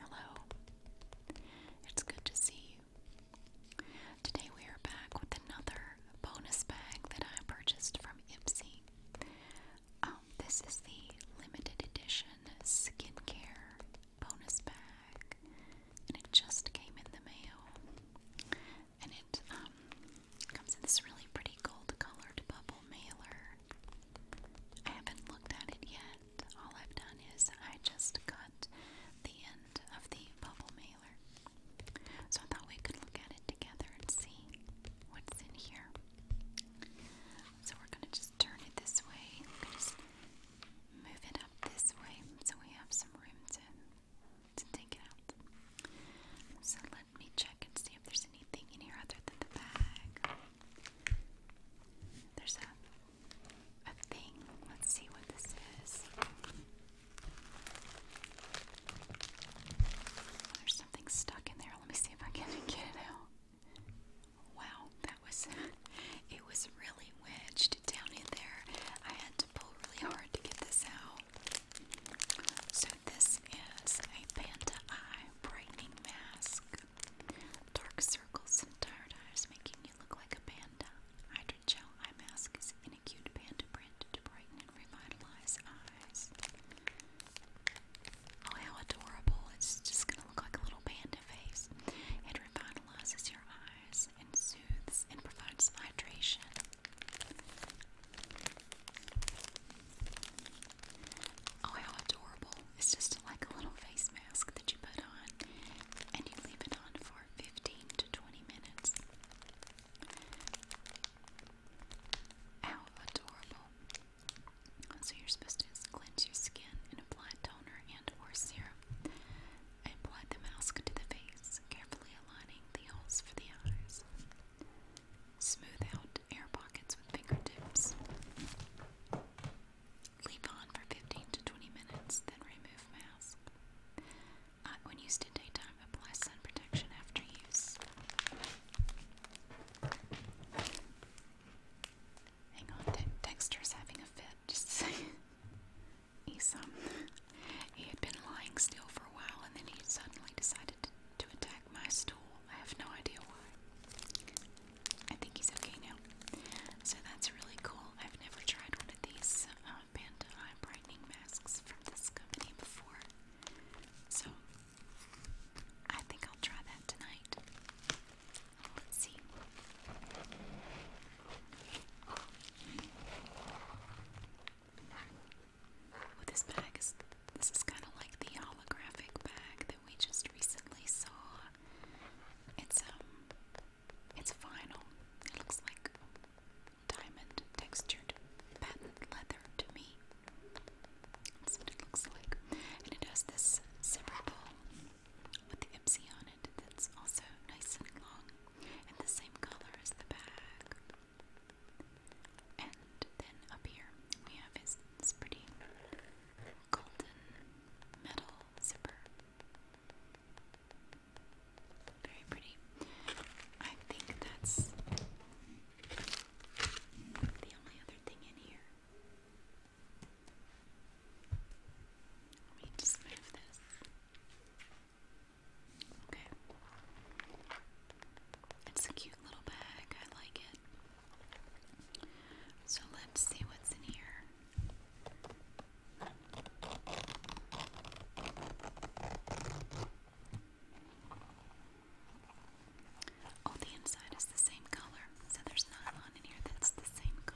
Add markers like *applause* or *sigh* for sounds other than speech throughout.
Hello. It's good to see you. Today we are back with another bonus bag that I purchased from Ipsy. Um, this is the limited edition skincare bonus bag, and it just came in the mail. And it um, comes in this really pretty gold colored bubble mailer. I haven't looked at it yet. All I've done is I just cut the end of the bubble mailer. So I thought we could look at it together and see what's in here. So we're going to just turn it this way. move it up this way so we have some room to, to take it out. So let me check and see if there's anything in here other than the bag. There's a, a thing. Let's see what this is. There's something stuck in there. Let me see if I can *laughs* get it out. Wow, that was *laughs* it was really wedged down in there. I had to pull really hard to get this out. So this is a panda eye brightening mask. Dark circles and tired eyes making you look like a panda. Hydrogel eye mask is in a cute panda print to brighten and revitalize eyes. Oh, how adorable! It's just gonna look like a little panda face. It revitalizes your eyes and soothes and provides hydration. Oh, how adorable. It's just like a little face mask that you put on and you leave it on for 15 to 20 minutes. How adorable. So, you're supposed to cleanse your skin apply toner and or serum. apply the mask to the face, carefully aligning the holes for the eyes. Smooth out air pockets with fingertips. Leave on for 15 to 20 minutes, then remove mask. when used in daytime, apply sun protection after use. Hang on, Dexter's having a fit, just saying. *laughs* He's, um, he had been lying still for a while and then he suddenly decided to attack my stool. I have no idea why. I think he's okay now. So that's really cool. I've never tried one of these uh, brightening masks from this company before. So I think I'll try that tonight. Let's see. With this bag, is, this is kind of like the holographic bag that we just recently saw. It's um, it's vinyl. It looks like diamond textured patent leather to me. That's what it looks like, and it has this zipperable with the Ipsy on it. That's also nice and long, and the same color as the bag. And then up here we have this pretty golden metal zipper. Very pretty. I think that's the only other thing in here. Let me just move this. Okay. It's a cute little bag. I like it. So let's see what's in here. Oh, the inside is the same color, so there's nylon in here that's the same color.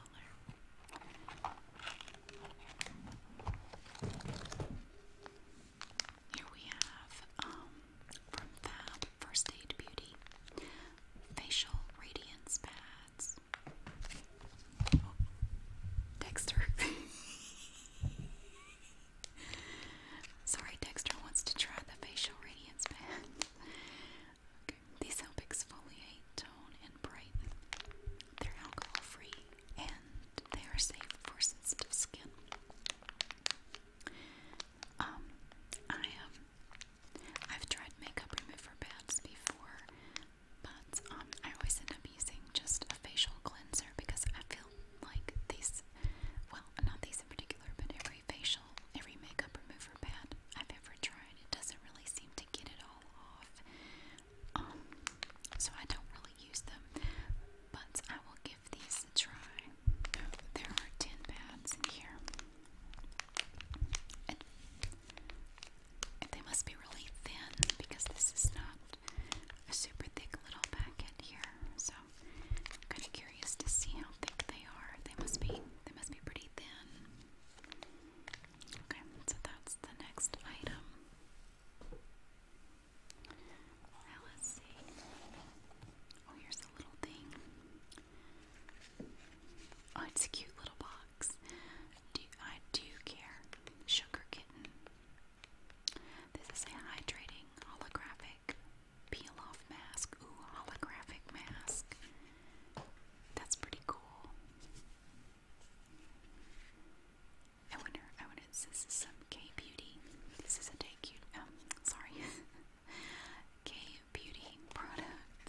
Here we have um, from Fab First Aid Beauty Facial Radiance Pads. Oh, Dexter. *laughs* Sorry, Dexter wants to try the facial radiance pad. These help exfoliate, tone, and brighten. They're alcohol free and they are safe for sensitive skin. Um, I have um, I've tried makeup remover pads before, but um, I always end up using just a facial cleanser because I feel like these, well, not these in particular, but every facial, every makeup remover pad I've ever tried, it doesn't really seem to get it all off. Um, so I don't really use them, but I will give these a try. there are ten pads in here. And, they must be really thin because this is not a super thick little packet here. So kind of curious to see how thick they are. They must be they must be pretty thin. Okay, so that's the next item let's see. Oh, here's a little thing. Oh, it's a cute little box. Do, I do care. Sugar kitten. This is a hydrating holographic peel off mask. Ooh, holographic mask. That's pretty cool. I wonder, I wonder, this is so K-Beauty, this is a um, *laughs* beauty product.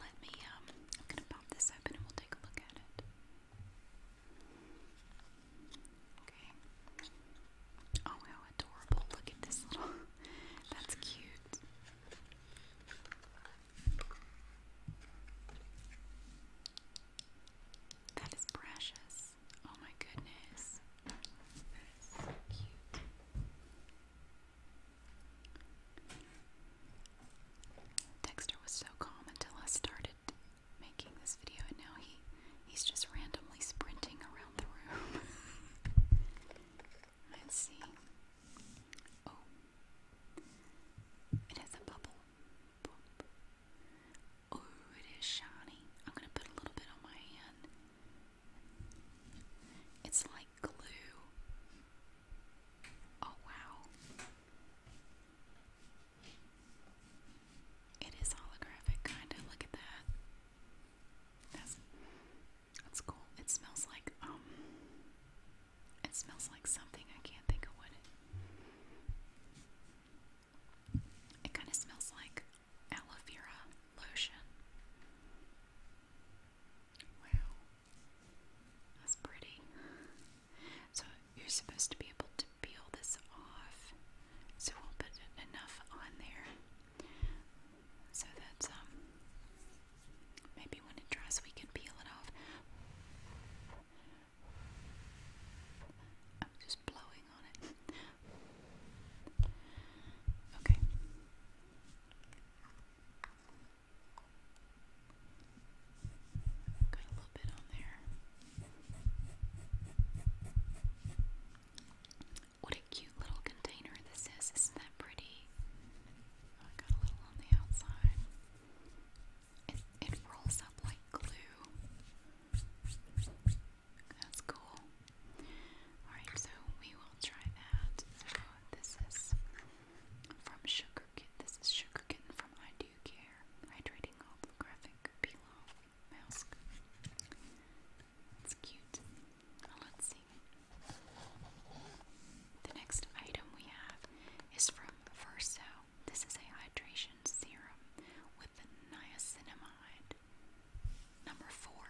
Let me, um, I'm gonna pop this open and we'll take a look at it. Okay. Oh, how adorable. Look at this little, *laughs* that's cute. That is precious. Oh my goodness. That is so cute. Dexter was so calm until I started making this video and now he he's just randomly sprinting around the room. *laughs* Let's see. Oh. It has a bubble. Oh, it is shiny. I'm going to put a little bit on my hand. It's like glue. Oh, wow. It is holographic, kind of. Look at that. That's that's cool. It smells like um. It smells like something I can't think of what it kind of smells like aloe vera lotion. Wow. That's pretty. So you're supposed to be able to peel this off. So we'll put enough on there so that um maybe when it dries we can peel it off. I'm just blowing on it. Okay. Got a little bit on there. What a cute little container this is. Isn't that pretty? Oh, I got a little on the outside. It, it rolls up like glue. That's cool. Alright, so we will try that. So this is from Sugar This is Sugar from I Do Care. Hydrating holographic pillow mask. It's cute. Well, let's see. The next item we have is from Verso. This is a hydration serum with niacinamide Number four.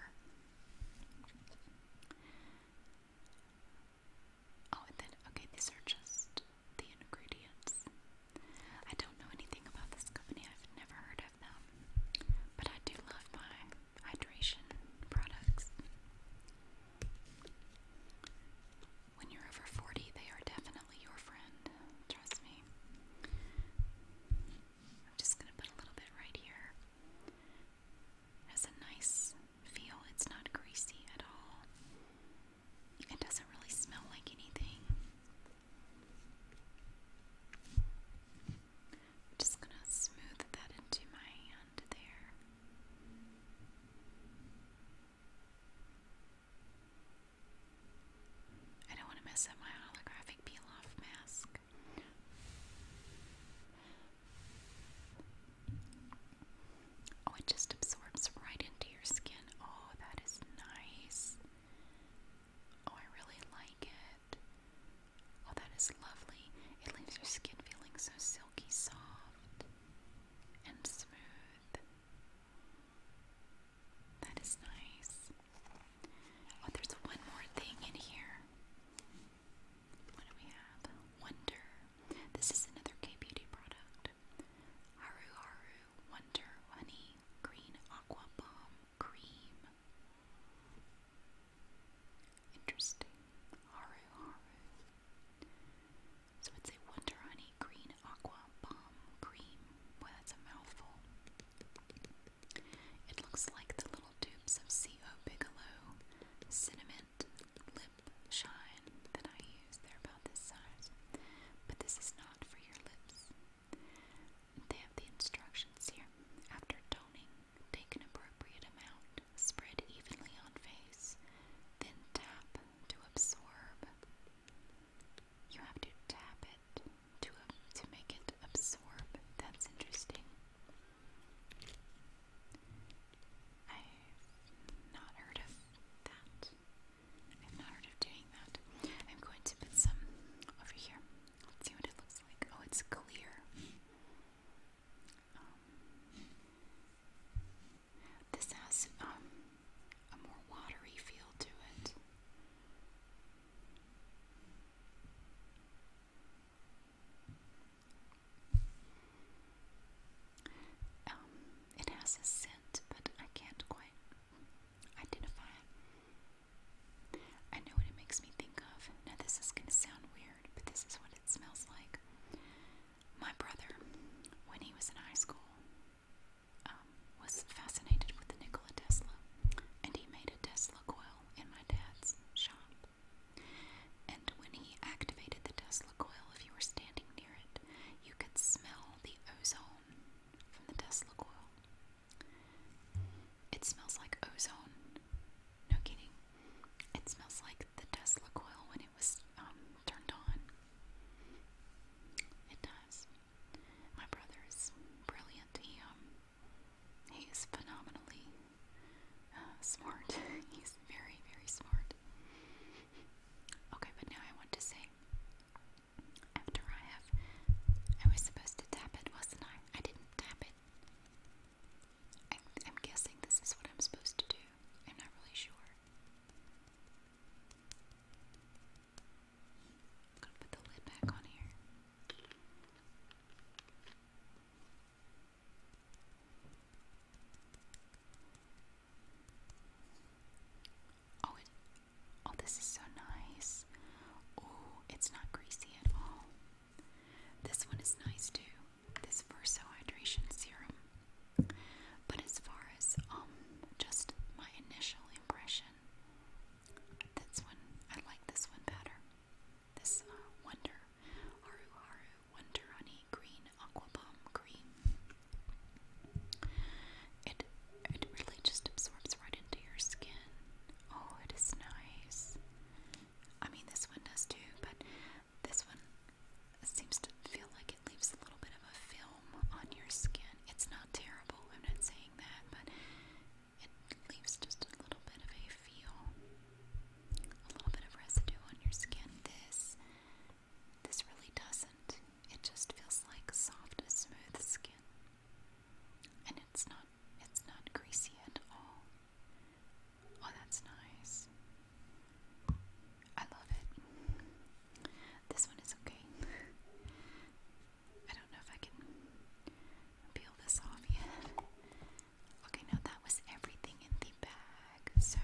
Oh, and then, okay, these are just the ingredients. I don't know anything about this company, I've never heard of them, but I do love my hydration products. When you're over 40, they are definitely your friend, trust me. I'm just going to put a little bit right here. It has a nice feel. It's not greasy at all. It doesn't really smell like anything. just going to smooth that into my hand there. I don't want to mess up my holographic peel off mask. Oh, it just absorbs right into your skin. Oh, that is nice. Oh, I really like it. Oh, that is lovely. It leaves your skin feeling so silky soft and smooth. That is nice. Oh, there's one more thing in here. What do we have? Wonder. This is another K Beauty product. Haru Haru Wonder Honey Green Aqua Balm Cream. Interesting. Haru Haru. So it's a Wonder Honey Green Aqua Balm Cream. Boy, that's a mouthful. It looks like the little tubes of CO Bigelow Cinnamon Lip Shine that I use. They're about this size, but this is not for your lips. They have the instructions here. After toning, take an appropriate amount, spread evenly on face, then tap to absorb. You have to tap it to uh, to make it absorb. That's interesting. I've not heard of that. I've not heard of doing that. I'm going to put some over here. Let's see what it looks like. Oh, it's clear. Um, this has um, a more watery feel to it. Um, it has a scent, but I can't quite identify it. I know what it makes me think of. Now, this is going to sound weird, but this is what it smells like. My brother, when he was in high school, um, was fascinated with the Nikola Tesla, and he made a Tesla coil in my dad's shop. And when he activated the Tesla coil, if you were standing near it, you could smell the ozone from the Tesla coil. It smells like ozone. No kidding. It smells like the Tesla coil when it was um, turned on. It does. My brother is brilliant. He um he phenomenally uh, smart. *laughs* He's very very smart. Okay, but now I want to say after I have I was supposed to tap it, wasn't I? I didn't tap it. I'm guessing this is what I'm supposed to do. I'm not really sure. I'm gonna put the lid back on here. Oh, oh, this is so nice. Oh, it's not greasy at all. This one is nice too. This Verso Hydration Serum. But as far as um just my initial impression, that's one I like this one better. This uh, Wonder Haru Haru Wonder Honey Green Aqua Bomb Cream. It it really just absorbs right into your skin. Oh, it is nice. I mean, this one does too, but this one seems to feel like it leaves a little bit of a film on your skin. It's not terrible, I'm not saying that, but it leaves just a little bit of a feel, a little bit of residue on your skin. This, this really doesn't. It just feels like soft, smooth skin, and it's not, it's not greasy at all. Oh, that's nice. I love it. This one is okay. I don't know if I can peel this off yet. Okay, now that was everything in the bag. So,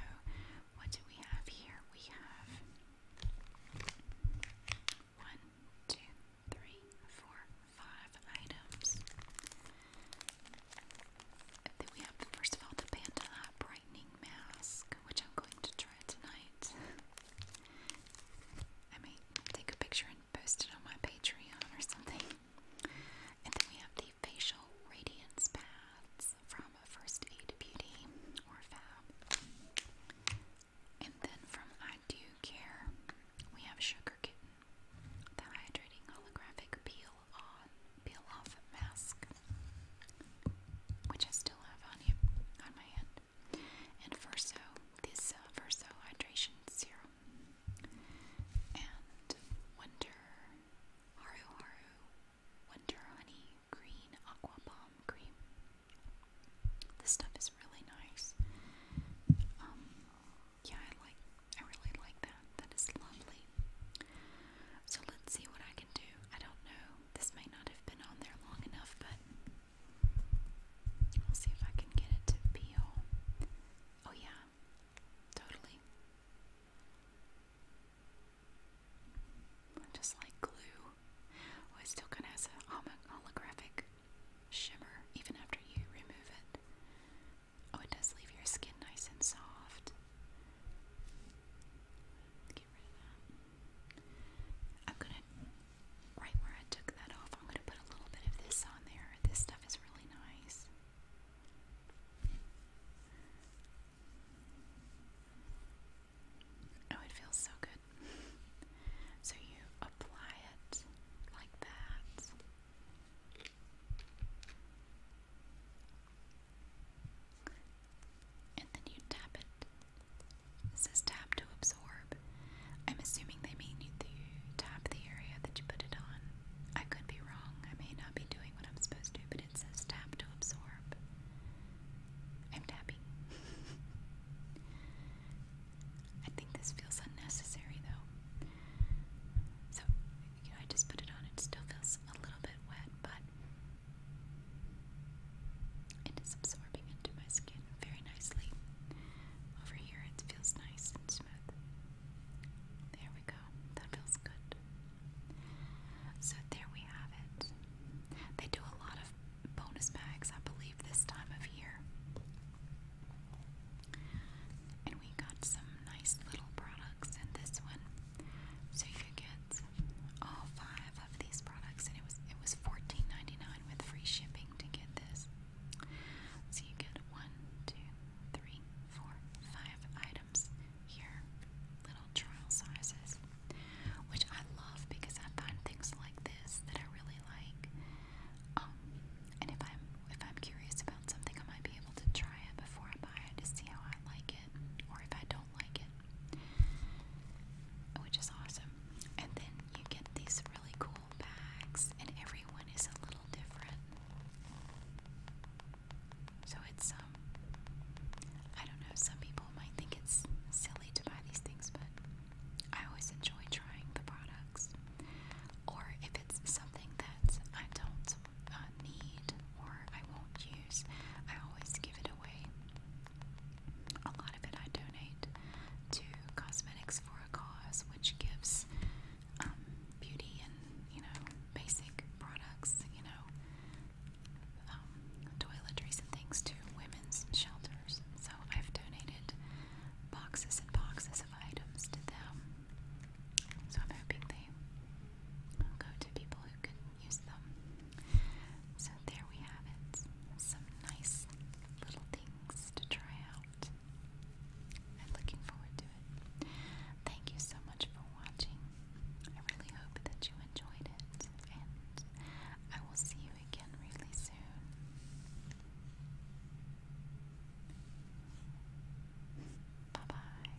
what do we have here? We have one, two, three, four, five items. then we have, first of all, the Panda Brightening Mask, which I'm going to try tonight. *laughs* I mean, take a picture and post it on my Patreon or something. And then we have the facial radiance pads from First Aid Beauty or Fab. And then from I Do Care, we have Sugar Kitten, the hydrating holographic peel on peel off mask, which I still have on you on my hand and Verso, this uh, Verso Hydration Serum, and Wonder Haru Haru Wonder Honey Green Aqua Balm Cream. This stuff is really nice. Um, yeah, I like, I really like that. That is lovely. So let's see what I can do. I don't know. This may not have been on there long enough, but I'll see if I can get it to peel. Oh, yeah, totally. Just like glue. Oh, it still kind of has a holographic shimmer even after you remove it. Oh, it does leave your skin nice and soft. Get rid of that. I'm gonna right where I took that off, I'm going to put a little bit of this on there. This stuff is really nice. Oh, it feels so good. So you apply it like that. And then you tap it it says tap to absorb. I'm assuming they mean you tap the area that you put it on. I could be wrong. I may not be doing what I'm supposed to, but it says tap to absorb. I'm tapping. *laughs* I think this feels unnecessary though. So, I just put it on. It still feels a little bit wet, but it is absorbing into my skin very nicely. Over here it feels nice and smooth. There we go. That feels good. So there we have it. They do a lot of bonus bags, I believe, this time of year. And we got some nice little products in this one. So you get all oh, five five of these products, and it was it was 14 with free shipping to get this. So you get one, two, three, four, five items here, little trial sizes, which I love because I find things like this that I really like. Um, and if I'm if I'm curious about something, I might be able to try it before I buy to see how I like it, or if I don't like it, which is awesome. And then you get these really cool bags, and everyone is a little different. So it's, um, I don't know, some people might think it's silly to buy these things, but I always enjoy trying the products. Or if it's something that I don't uh, need or I won't use, I always give it away. A lot of it I donate to Cosmetics for a Cause, which gives um, beauty and, you know, basic products, you know, um, toiletries and things to women's shelters. So I've donated boxes and boxes of items to them. So I'm hoping they go to people who can use them. So there we have it. Some nice little things to try out. I'm looking forward to it. Thank you so much for watching. I really hope that you enjoyed it, and I will see you again really soon. Bye bye.